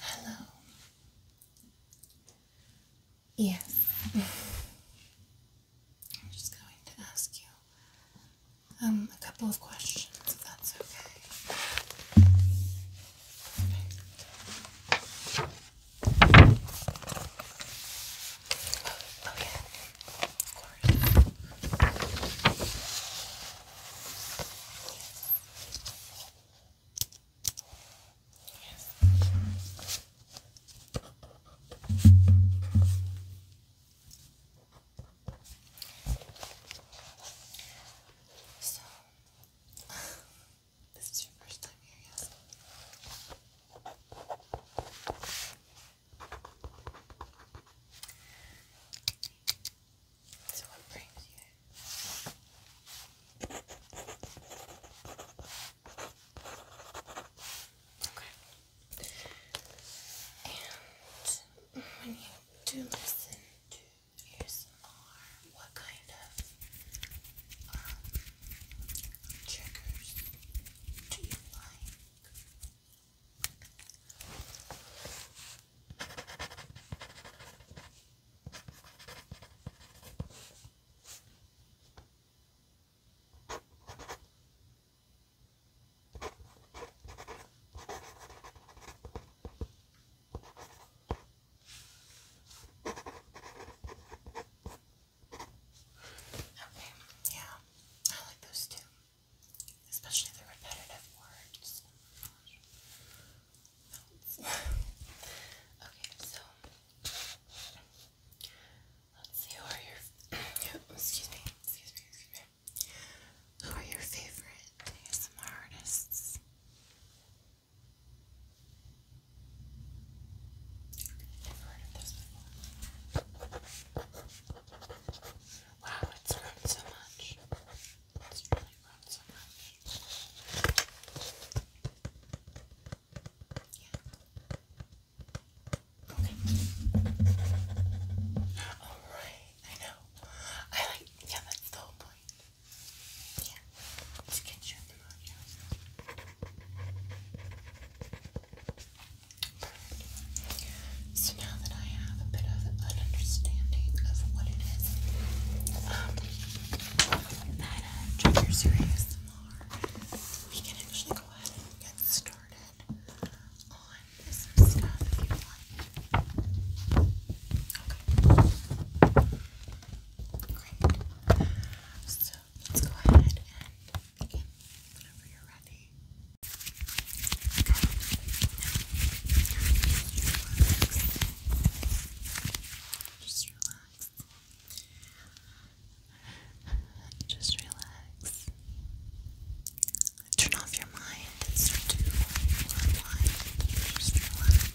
Hello. Yes. I'm just going to ask you um, a couple of questions, that's okay. okay. of course. So, this is your first time here, yes? So what brings you? Okay. when you do listen to ASMR, what kind of um, triggers do you like? Okay, yeah, I like those too especially the repetitive words. okay, so let's see. Who are your excuse me, excuse me, excuse me. Who are your favorite artists? never heard of this before. Wow, it's grown so much. It's really grown so much. Yeah. Okay. Alright, I know. I like, yeah, that's the whole point. Yeah. Let's get you in the audio. So now that I have a bit of an understanding of what it is um, that uh, triggers your we can actually go ahead and get started on some stuff if you want. Okay. Great. So let's go ahead begin whenever you're ready. Just relax. Just relax. Turn off your mind and start to unwind. Just relax.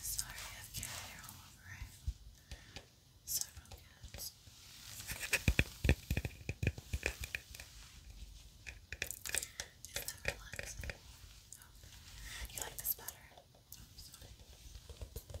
Sorry, I have cat hair all over it. Several cats. Is that relaxing? Oh. You like this better? Oh, sorry. Okay.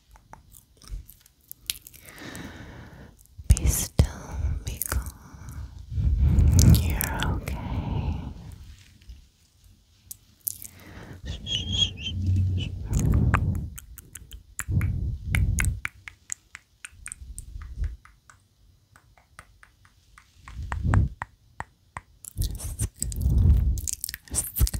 Be still, be calm. You're okay.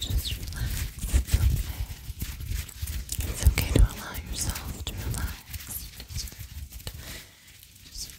Just relax. It's okay. It's okay to allow yourself to relax. just, just,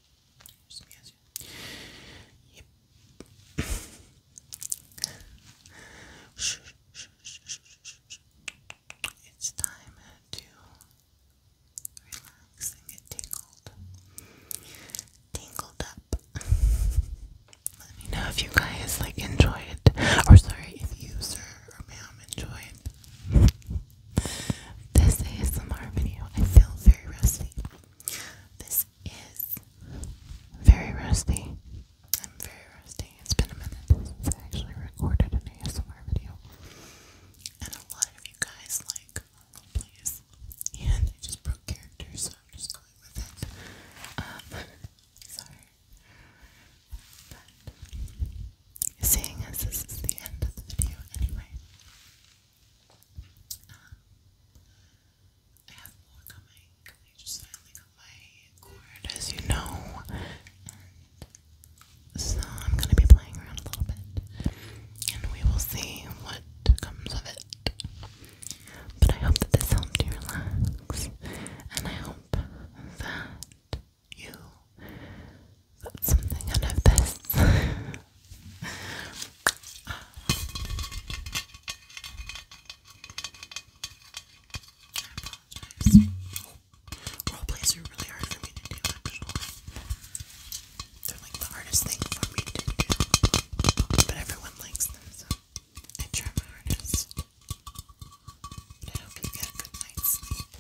It's time to relax and get tingled. Tingled up. Let me know if you guys like enjoyed, or sorry, if you, sir or ma'am, enjoyed this ASMR video. I feel very rusty. This is very rusty. I'm very rusty. It's been a minute I actually recorded an ASMR video. And a lot of you guys like roleplays. And I just broke characters, so I'm just going with it. Um, sorry. But, seeing as this is the end of the video anyway, I have more coming. I just finally got my cord, as you know, so I'm gonna be playing around a little bit, and we will see what comes of it. But I hope that this helped you relax, and I hope that you got something out of this. Role plays are really hard for me to do, They're like the hardest thing for me to do. But everyone likes them, so I try my hardest. I hope you get a good night's sleep.